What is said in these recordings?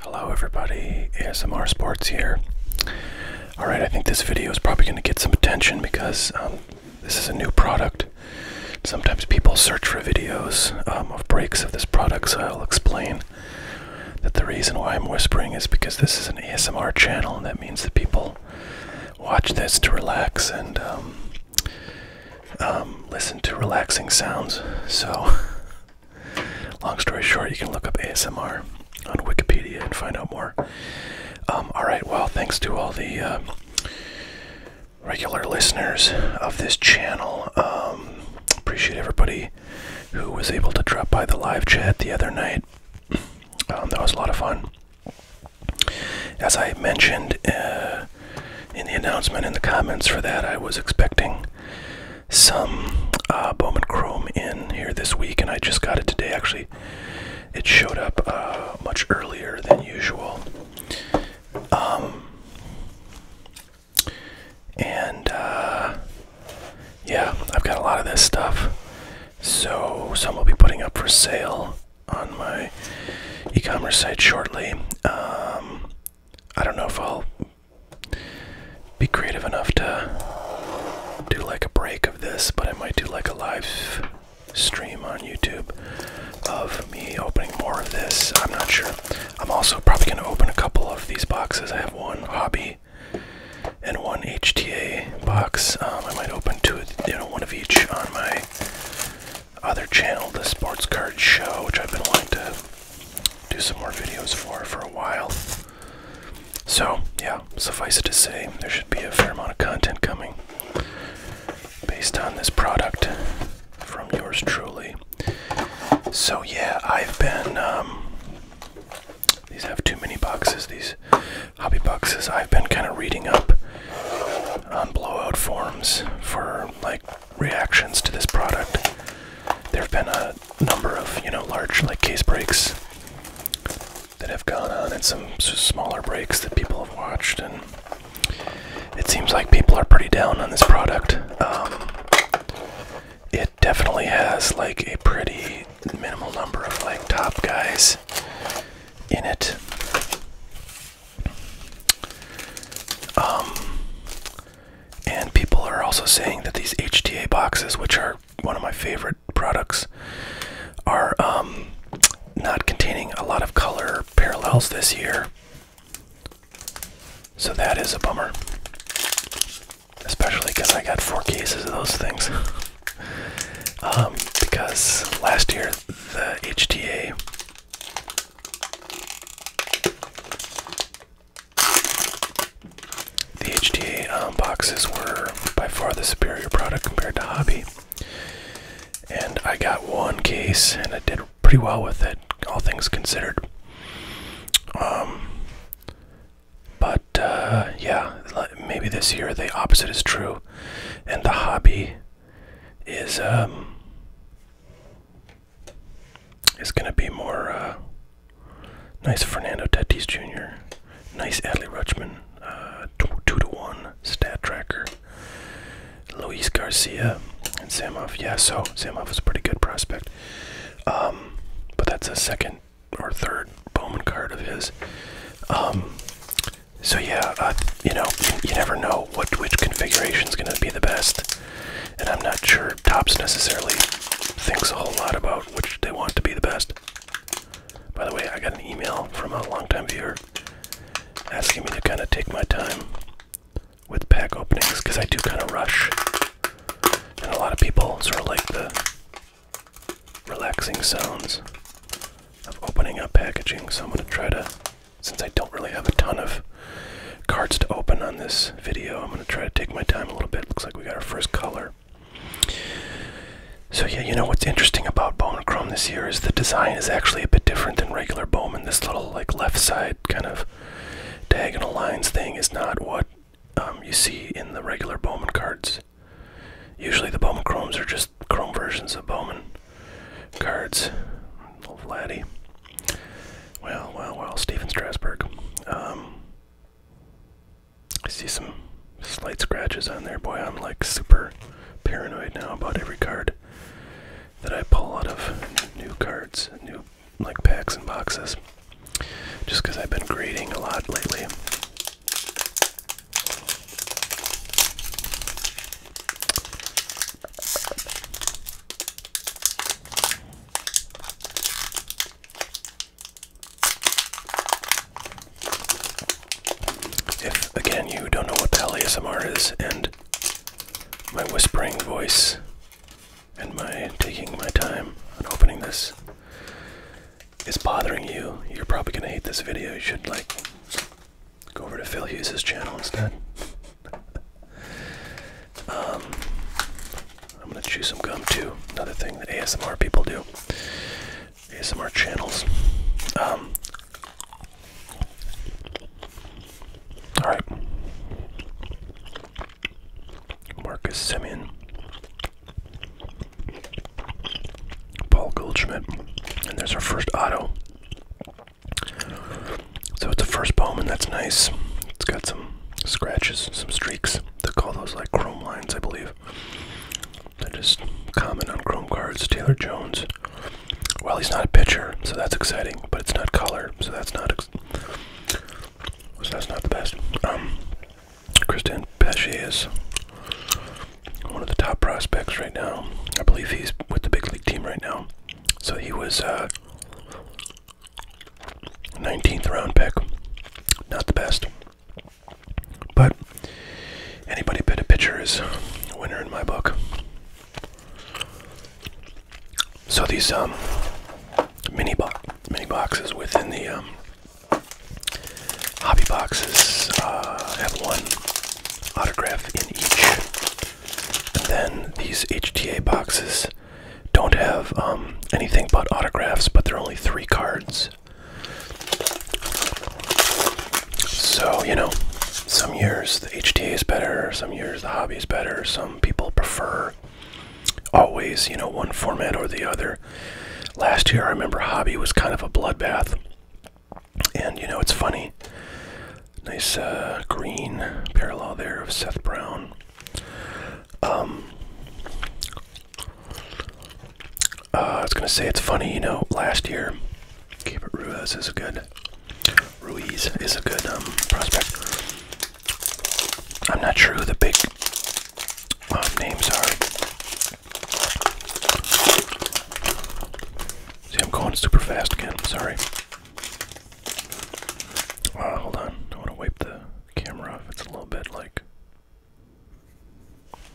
Hello everybody, ASMR Sports here. Alright, I think this video is probably going to get some attention because um, this is a new product. Sometimes people search for videos um, of breaks of this product, so I'll explain that the reason why I'm whispering is because this is an ASMR channel, and that means that people watch this to relax and um, listen to relaxing sounds. So Long story short, you can look up ASMR on Wikipedia and find out more. Um, all right, well, thanks to all the uh, regular listeners of this channel. Um, appreciate everybody who was able to drop by the live chat the other night. Um, that was a lot of fun. As I mentioned uh, in the announcement in the comments for that. I was expecting some uh, Bowman Chrome in here this week, and I just got it today. Actually, it showed up uh, much earlier than usual. Um, and uh, yeah, I've got a lot of this stuff. So, some will be putting up for sale on my e commerce site shortly. Um, I don't know if I'll be creative enough to do like a break of this, but I might do like a live stream on YouTube of me opening more of this. I'm not sure. I'm also probably going to open a couple of these boxes. I have one hobby and one HTA box. Um, I might open two, you know, one of each on my other channel, the Sports Card Show, which I've been wanting to do some more videos for for a while. So, yeah, suffice it to say, there should be a fair amount of content coming based on this product from yours truly. So, yeah, I've been. Um, these have too many boxes, these hobby boxes. I've been kind of reading up on blowout forms for like reactions to this product. There have been a number of, you know, large like case breaks that have gone on and some smaller breaks that people have watched and it seems like people are pretty down on this product. Um, it definitely has like a pretty minimal number of like top guys in it. Um, and people are also saying that these HTA boxes, which are one of my favorite products, are um, not containing a lot of color parallels this year. So that is a bummer. Especially because I got four cases of those things. Um, because last year the HTA the HDA um, boxes were by far the superior product compared to Hobby. And I got one case and I did pretty well with it, all things considered. Um, but uh, yeah, maybe this year the opposite is true. And the Hobby is um, is going to be more uh, nice Fernando Tatis Jr., nice Adley Rutschman, uh, 2 to 1 stat tracker, Luis Garcia, and Samov. Yeah, so Samov is a pretty good prospect. Um, but that's a second or third Bowman card of his. Um, so yeah, uh, you know, you never know what which configuration is going to be the best, and I'm not sure Tops necessarily thinks a whole lot about which they want to be the best. By the way, I got an email from a long-time viewer asking me to kind of take my time with pack openings because I do kind of rush, and a lot of people sort of like the relaxing sounds of opening up packaging. So I'm going to try to since I don't really have a ton of cards to open on this video, I'm going to try to take my time a little bit. Looks like we got our first color. So yeah, you know what's interesting about Bowman Chrome this year is the design is actually a bit different than regular Bowman. This little like left side kind of diagonal lines thing is not what um, you see in the regular Bowman cards. Usually the Bowman Chromes are just Chrome versions of Bowman cards. laddie. Well, well, well, Stephen Strasburg. Um, I see some slight scratches on there. Boy, I'm like super paranoid now about every card that I pull out of new cards, new like packs and boxes. Just because I've been grading a lot lately. If again you don't know what the hell ASMR is, and my whispering voice, and my taking my time on opening this is bothering you, you're probably gonna hate this video. You should like Go over to Phil Hughes' channel instead. Um, I'm gonna chew some gum too. Another thing that ASMR people do. ASMR channels. Um, all right. Marcus Simeon, Paul Goldschmidt, and there's our first auto. So it's a first Bowman, that's nice. It's got some scratches, some streaks. They call those like chrome lines, I believe. They're just common on chrome cards. Taylor Jones. Well, he's not a pitcher, so that's exciting, but it's not color, so that's not so that's not the best. Um, Christian Pache is one of the top prospects right now. I believe he's with the big league team right now. So he was a uh, 19th round pick. Not the best. But anybody bit a pitcher is a winner in my book. So these um, mini, bo mini boxes within the um, hobby boxes uh, have one autograph in each. And then these HTA boxes don't have um, anything but autographs, but they're only three cards. So, you know, some years the HTA is better, some years the hobby is better, some people prefer always, you know, one format or the other. Last year, I remember hobby was kind of a bloodbath. And you know, it's funny. Nice uh, green parallel there of Seth Brown. Um, uh, I was gonna say it's funny, you know. Last year, keep it Ruiz is a good Ruiz is a good um, prospect. I'm not sure who the big uh, names are. See, I'm going super fast again. Sorry. Uh, hold on. I want to wipe the camera off. It's a little bit like.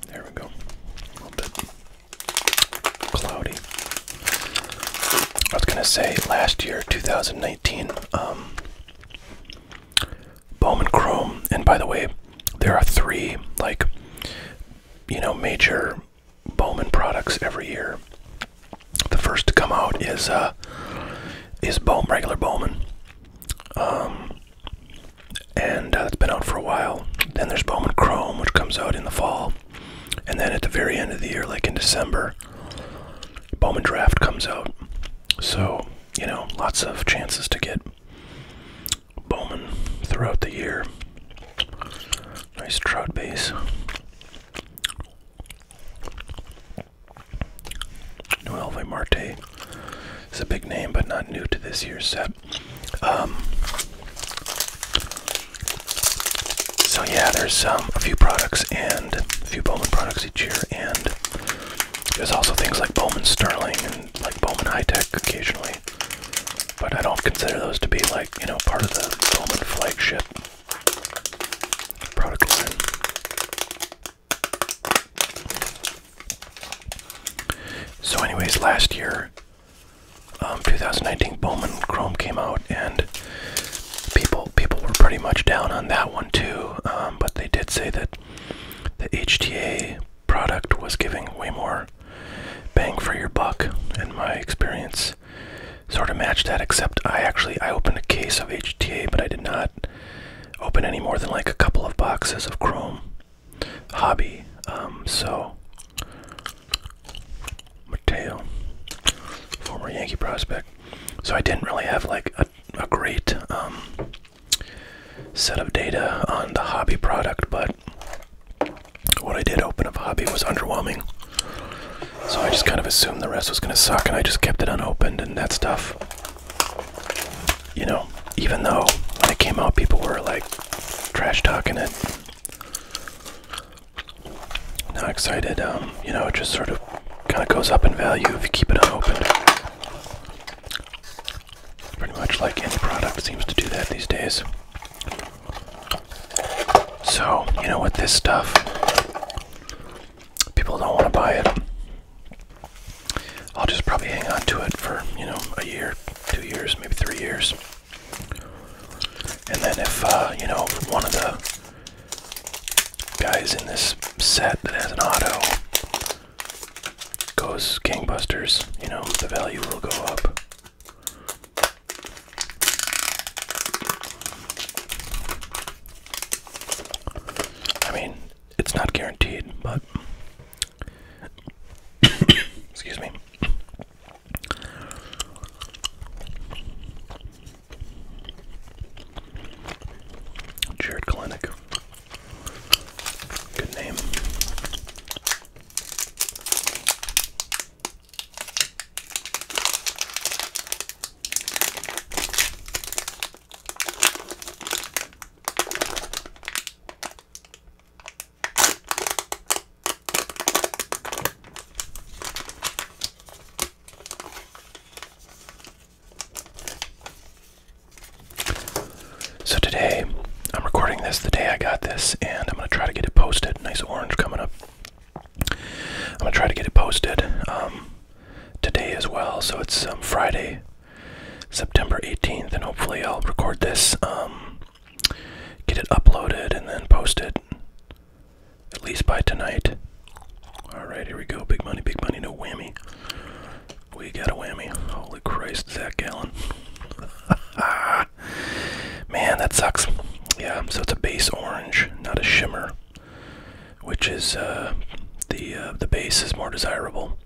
There we go. A little bit cloudy. I was gonna say last year, 2019. Um, Bowman Chrome, and by the way, there are three like you know major Bowman products every year. The first to come out is uh, is Bowman regular Bowman, um, and uh, it's been out for a while. Then there's Bowman Chrome, which comes out in the fall, and then at the very end of the year, like in December, Bowman Draft comes out. So you know, lots of chances to get Bowman throughout the year. Nice trout base. Noelve Marte is a big name, but not new to this year's set. Um, so yeah, there's um, a few products and a few Bowman products each year, and there's also things like Bowman Sterling and like Bowman High Tech occasionally. But I don't consider those to be like, you know, part of the Bowman flagship product line. So, anyways, last year, um, 2019, Bowman Chrome came out, and people people were pretty much down on that one too. Um, but they did say that the HTA product was giving way more bang for your buck in my experience sort of matched that except i actually i opened a case of hta but i did not open any more than like a couple of boxes of chrome hobby um, so mateo former yankee prospect so i didn't really have like a, great um, set of data on the hobby product, but what I did open of hobby was underwhelming. So I just kind of assumed the rest was going to suck, and I just kept it unopened and that stuff. You know, even though when it came out, people were like trash talking it. Not excited, um, you know, it just sort of kind of goes up in value if you keep it unopened. Pretty much like any product seems to do that these days. So, you know, what this stuff, people don't want to buy it. I'll just probably hang on to it for, you know, a year, two years, maybe three years. And then if, uh, you know, one of the guys in this set that has an auto goes gangbusters, you know, the value will go up. I mean, it's not guaranteed, but excuse me. Jared Kalenic. Good name. So today, I'm recording this the day I got this, and I'm gonna try to get it posted. Nice orange coming up. I'm gonna try to get it posted um, today as well. So it's um, Friday, September 18th, and hopefully I'll record this, um, get it uploaded, and then posted at least by tonight. All right, here we go. Big money, big money, no whammy. We got a whammy. Holy Christ, Zach Allen. Man, that sucks. Yeah, so it's a base orange, not a shimmer, which is uh, the uh, the base is more desirable,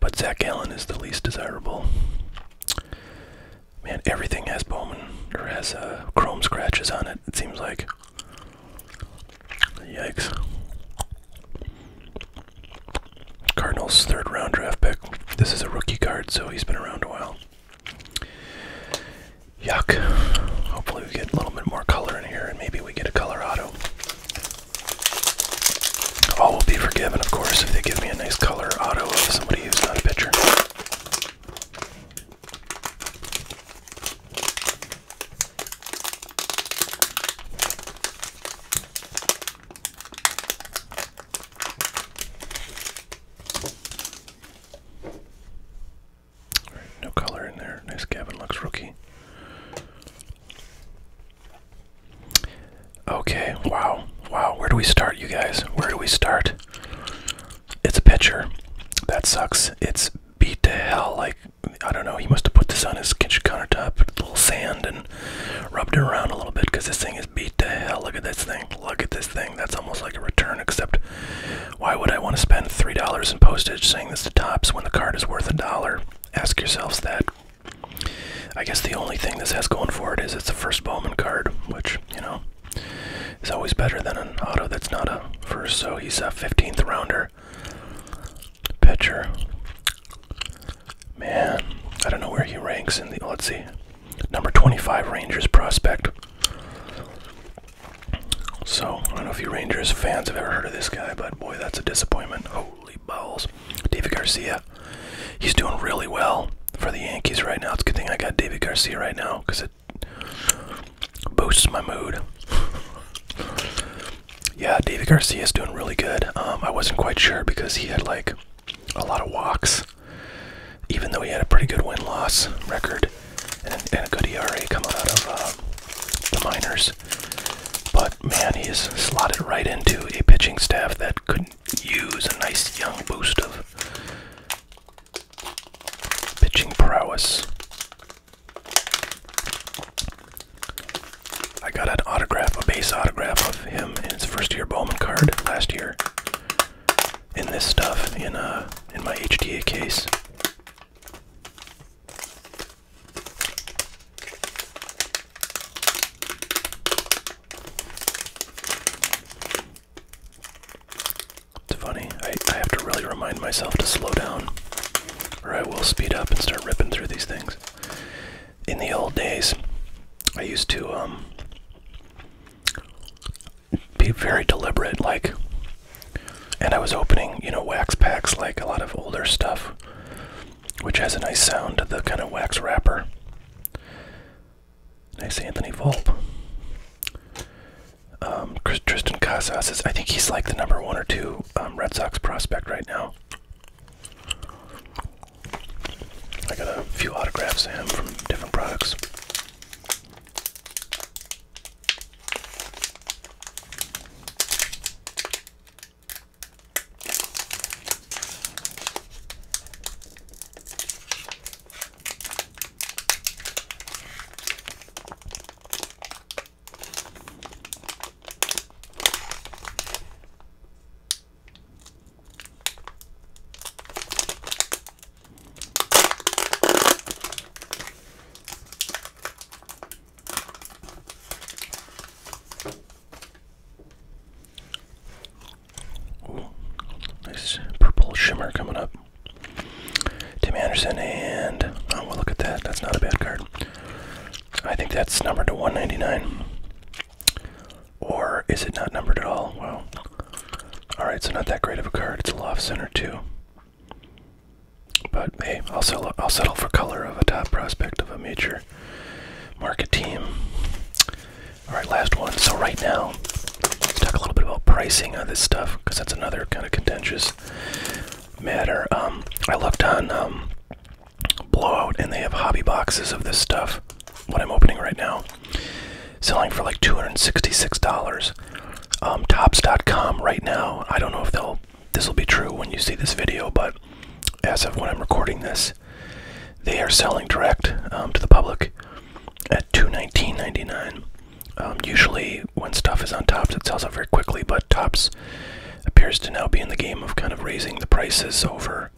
but Zach Allen is the least desirable. Man, everything has Bowman or has uh, chrome scratches on it. It seems like. Yikes. Cardinals third round draft pick. This is a rookie card, so he's been around a while. Yuck. Hopefully we get a little bit more color in here and maybe we get a Colorado. All will be forgiven, of course, if they give me a nice color auto of somebody who's not a pitcher no color in there. Nice cabin looks, rookie. Okay, wow, wow. Where do we start, you guys? Where do we start? It's a pitcher. That sucks. It's beat to hell. Like, I don't know, he must have put this on his kitchen countertop, with a little sand, and rubbed it around a little bit because this thing is beat to hell. Look at this thing. Look at this thing. That's almost like a return, except why would I want to spend $3 in postage saying this to tops when the card is worth a dollar? Ask yourselves that. I guess the only thing this has going for it is it's a first Bowman card, which, you know, is always better than an auto that's not a first. So he's a 15th rounder pitcher. Man, I don't know where he ranks in the. Let's see. Number 25 Rangers prospect. So, I don't know if you Rangers fans have ever heard of this guy, but boy, that's a disappointment. Holy balls. David Garcia. He's doing really well for the Yankees right now. It's a good thing I got David Garcia right now because it boosts my mood yeah, David Garcia is doing really good. Um, I wasn't quite sure because he had like a lot of walks, even though he had a pretty good win loss record and, a good ERA coming out of uh, the minors. But man, he is slotted right into a pitching staff that could use a nice young boost of pitching prowess. I got an autograph, a base autograph of him in his first year Bowman card last year. In this stuff, in uh, in my HDA case. It's funny. I I have to really remind myself to slow down or I will speed up and start ripping through these things. In the old days, I used to um, be very deliberate, like, and I was opening, you know, wax packs, like a lot of older stuff, which has a nice sound to the kind of wax wrapper. Nice Anthony Volpe. Um, Tristan Casas is, I think he's like the number one or two um, Red Sox prospect right now. I got a few autographs of from different products nice purple shimmer coming up. Tim Anderson and oh well look at that. That's not a bad card. I think that's numbered to 199. Or is it not numbered at all? Well, Alright, so not that great of a card. It's a loft center too. But hey, I'll settle I'll settle for color of a top prospect of a major market team. Alright, last one. So right now, let's talk a little bit about pricing on this stuff, because that's another kind of contentious matter. Um, I looked on um, Blowout, and they have hobby boxes of this stuff. What I'm opening right now, selling for like $266. Um, Tops.com right now. I don't know if they'll. This will be true when you see this video, but as of when I'm recording this, they are selling direct to the public at $219.99. Um, usually, when stuff is on top, it sells out very quickly, but tops appears to now be in the game of kind of raising the prices over,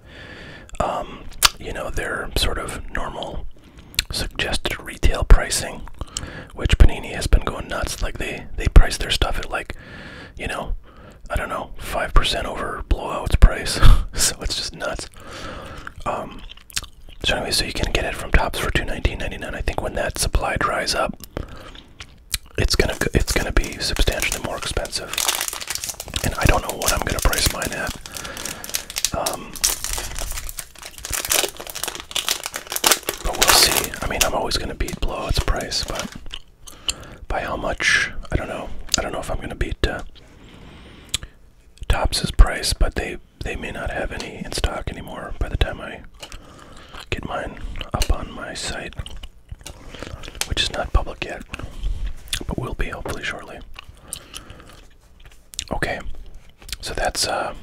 um, you know, their sort of normal suggested retail pricing, which Panini has been going nuts. Like they they price their stuff at like, you know, I don't know, five percent over blowout's price, so it's just nuts. Um, so anyway, so you can get it from Tops for two nineteen ninety nine. I think when that supply dries up, it's gonna it's gonna be substantially more expensive, and I don't know what I'm gonna price mine at. Um, but we'll see. I mean, I'm always gonna beat blowout's price, but by how much? I don't know. I don't know if I'm gonna beat uh, Tops's price, but they they may not have any in stock anymore by the time I get mine up on my site, which is not public yet, but will be hopefully shortly. Okay, so that's uh,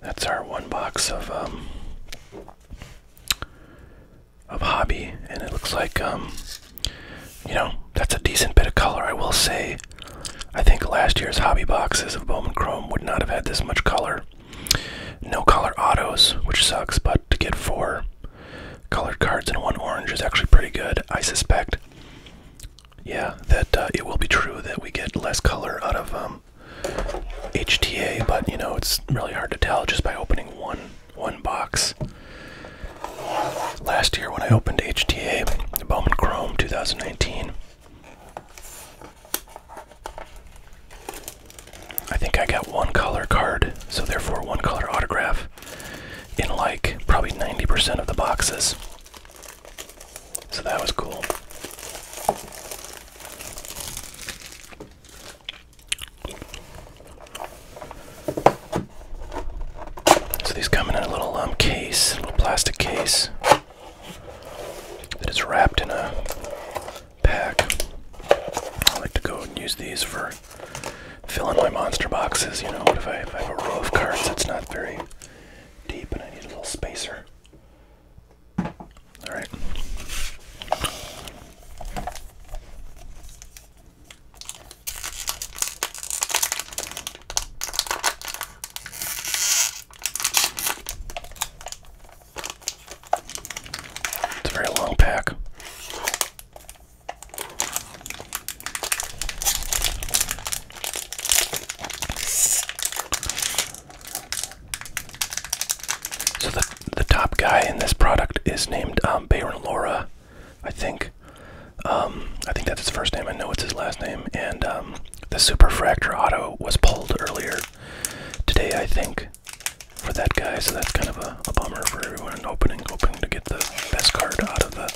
that's our one box of um, of hobby, and it looks like um, you know that's a decent bit of color. I will say I think last year's hobby boxes of Bowman Chrome would not have had this much color. No color autos, which sucks, but to get four colored cards and one orange is actually pretty good. I suspect, yeah, that uh, it will be true that we get less color out of um, HTA, but you know it's really hard to tell just by opening one one box. Last year, when I opened HTA, the Bowman Chrome 2019, I think I got one color card, so therefore one color autograph in like probably 90% of the boxes. So that was cool. So these come in a little um, case, little plastic case that is wrapped in a pack. I like to go and use these for filling my monster boxes. You know, if I, if I have a row of cards that's not very deep and I need a little spacer. Alright. It's a very long pack. So the the top guy in this product is named um, Baron Laura, I think. Um, I think that's his first name. I know it's his last name, and um, the Superfractor auto was pulled earlier today, I think, for that guy, so that's kind of a, bummer for everyone opening, hoping to get the best card out of the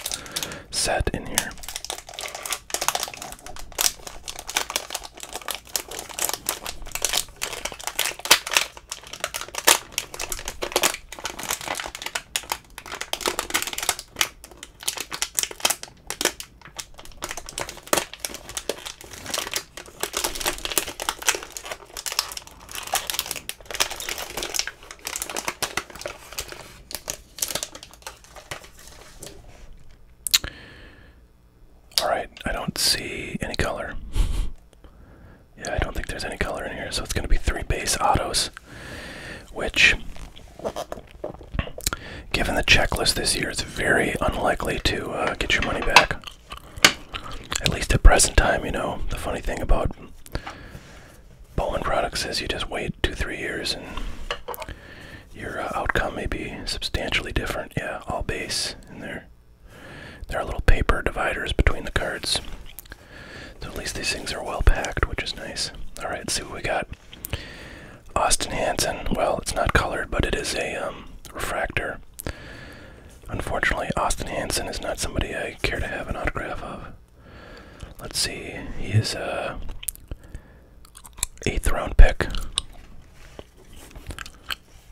set in here. All right, I don't see any color. yeah, I don't think there's any color in here, so it's going to be three base autos which, given the checklist this year, is very unlikely to uh, get your money back. At least at present time, you know. The funny thing about bowling products is you just wait two, three years and your uh, outcome may be substantially different. Yeah, all base in there. There are little paper dividers between the cards. So at least these things are well packed, which is nice. Alright, let's see what we got. Austin Hansen, well, it's not colored, but it is a um, refractor. Unfortunately, Austin Hansen is not somebody I care to have an autograph of. Let's see, he is a uh, eighth round pick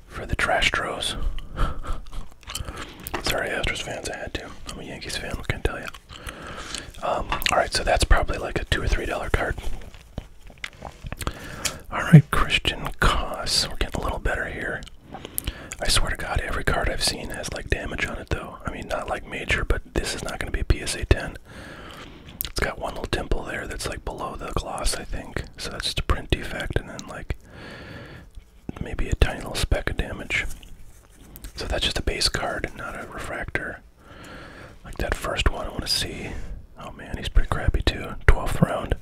for the Trash Tros. Sorry, Astros fans, I had to. I'm a Yankees fan, I can tell you. Um, Alright, so that's probably like a 2 or $3 card. Alright, Christian Koss. We're getting a little better here. I swear to God, every card I've seen has like damage on it though. I mean, not like major, but this is not going to be a PSA 10. It's got one little temple there that's like below the gloss, I think. So that's just a print defect and then like maybe a tiny little speck of damage. So that's just a base card, not a refractor. Like that first one, I want to see. Oh man, he's pretty crappy too. 12th round.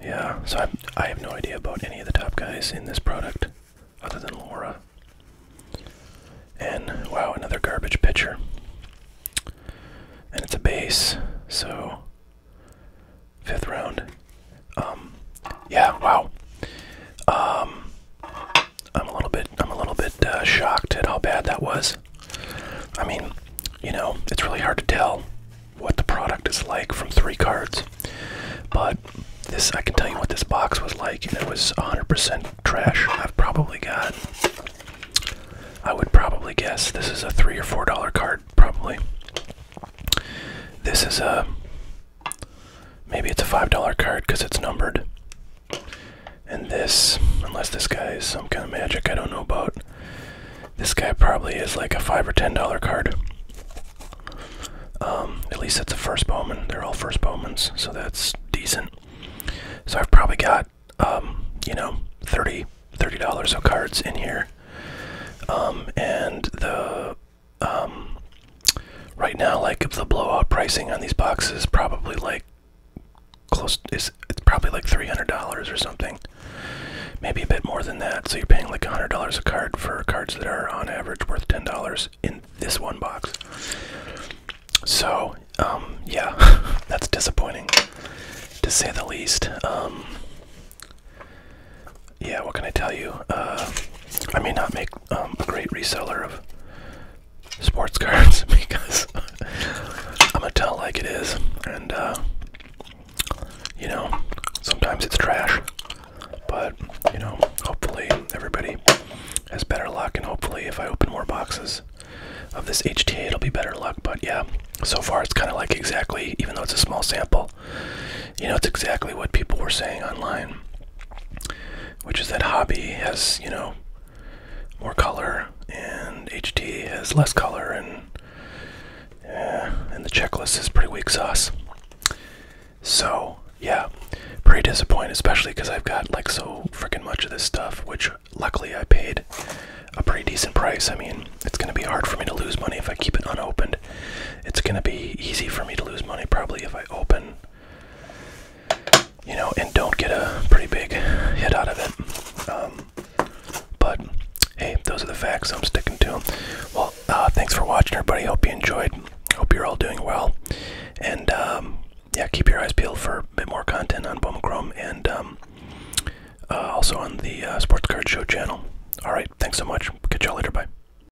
Yeah, so i have no idea about any of the top guys in this product other than Laura. And wow, another garbage pitcher. And it's a base, so fifth round. Um, yeah, wow. Um, I'm a little bit I'm a little bit uh, shocked at how bad that was. I mean, you know, it's really hard to tell what the product is like from three cards. But this I can tell you what this box was like and it was 100% trash. I've probably got I would probably guess this is a 3 or 4 dollar card probably. This is a Maybe it's a $5 card because it's numbered. And this, unless this guy is some kind of magic I don't know about, this guy probably is like a 5 or $10 card. Um, at least that's a first Bowman. They're all first Bowmans, so that's decent. So I've probably got, um, you know, 30 dollars of cards in here. Um, and the um, right now, like the blowout pricing on these boxes probably like close is it's probably like three hundred dollars or something, maybe a bit more than that. So you're paying like hundred dollars a card for cards that are on average worth ten dollars in this one box. So um, yeah, that's disappointing to say the least. Um, yeah, what can I tell you? Uh, I may not make um, a great reseller of sports cards because I'm gonna tell like it is, and uh, you know, sometimes it's trash. But you know, hopefully everybody has better luck, and hopefully if I open more boxes of this HTA, it'll be better luck. But yeah, so far it's kind of like exactly, even though it's a small sample, you know, it's exactly what people were saying online, which is that Hobby has, you know, more color and HD has less color and and the checklist is pretty weak sauce. So, yeah, pretty disappointing, especially because I've got like so freaking much of this stuff, which luckily I paid a pretty decent price. I mean, it's going to be hard for me to lose money if I keep it unopened. It's going to be easy for me to lose money probably if I open you know, and don't get a pretty big hit out of it. Um, but hey, those are the facts. I'm sticking to them. Well, uh, thanks for watching, everybody. Hope you enjoyed. Hope you're all doing well. And um, yeah, keep your eyes peeled for a bit more content on Boma Chrome and um, uh, also on the uh, Sports Card Show channel. All right, thanks so much. Catch y'all later. Bye.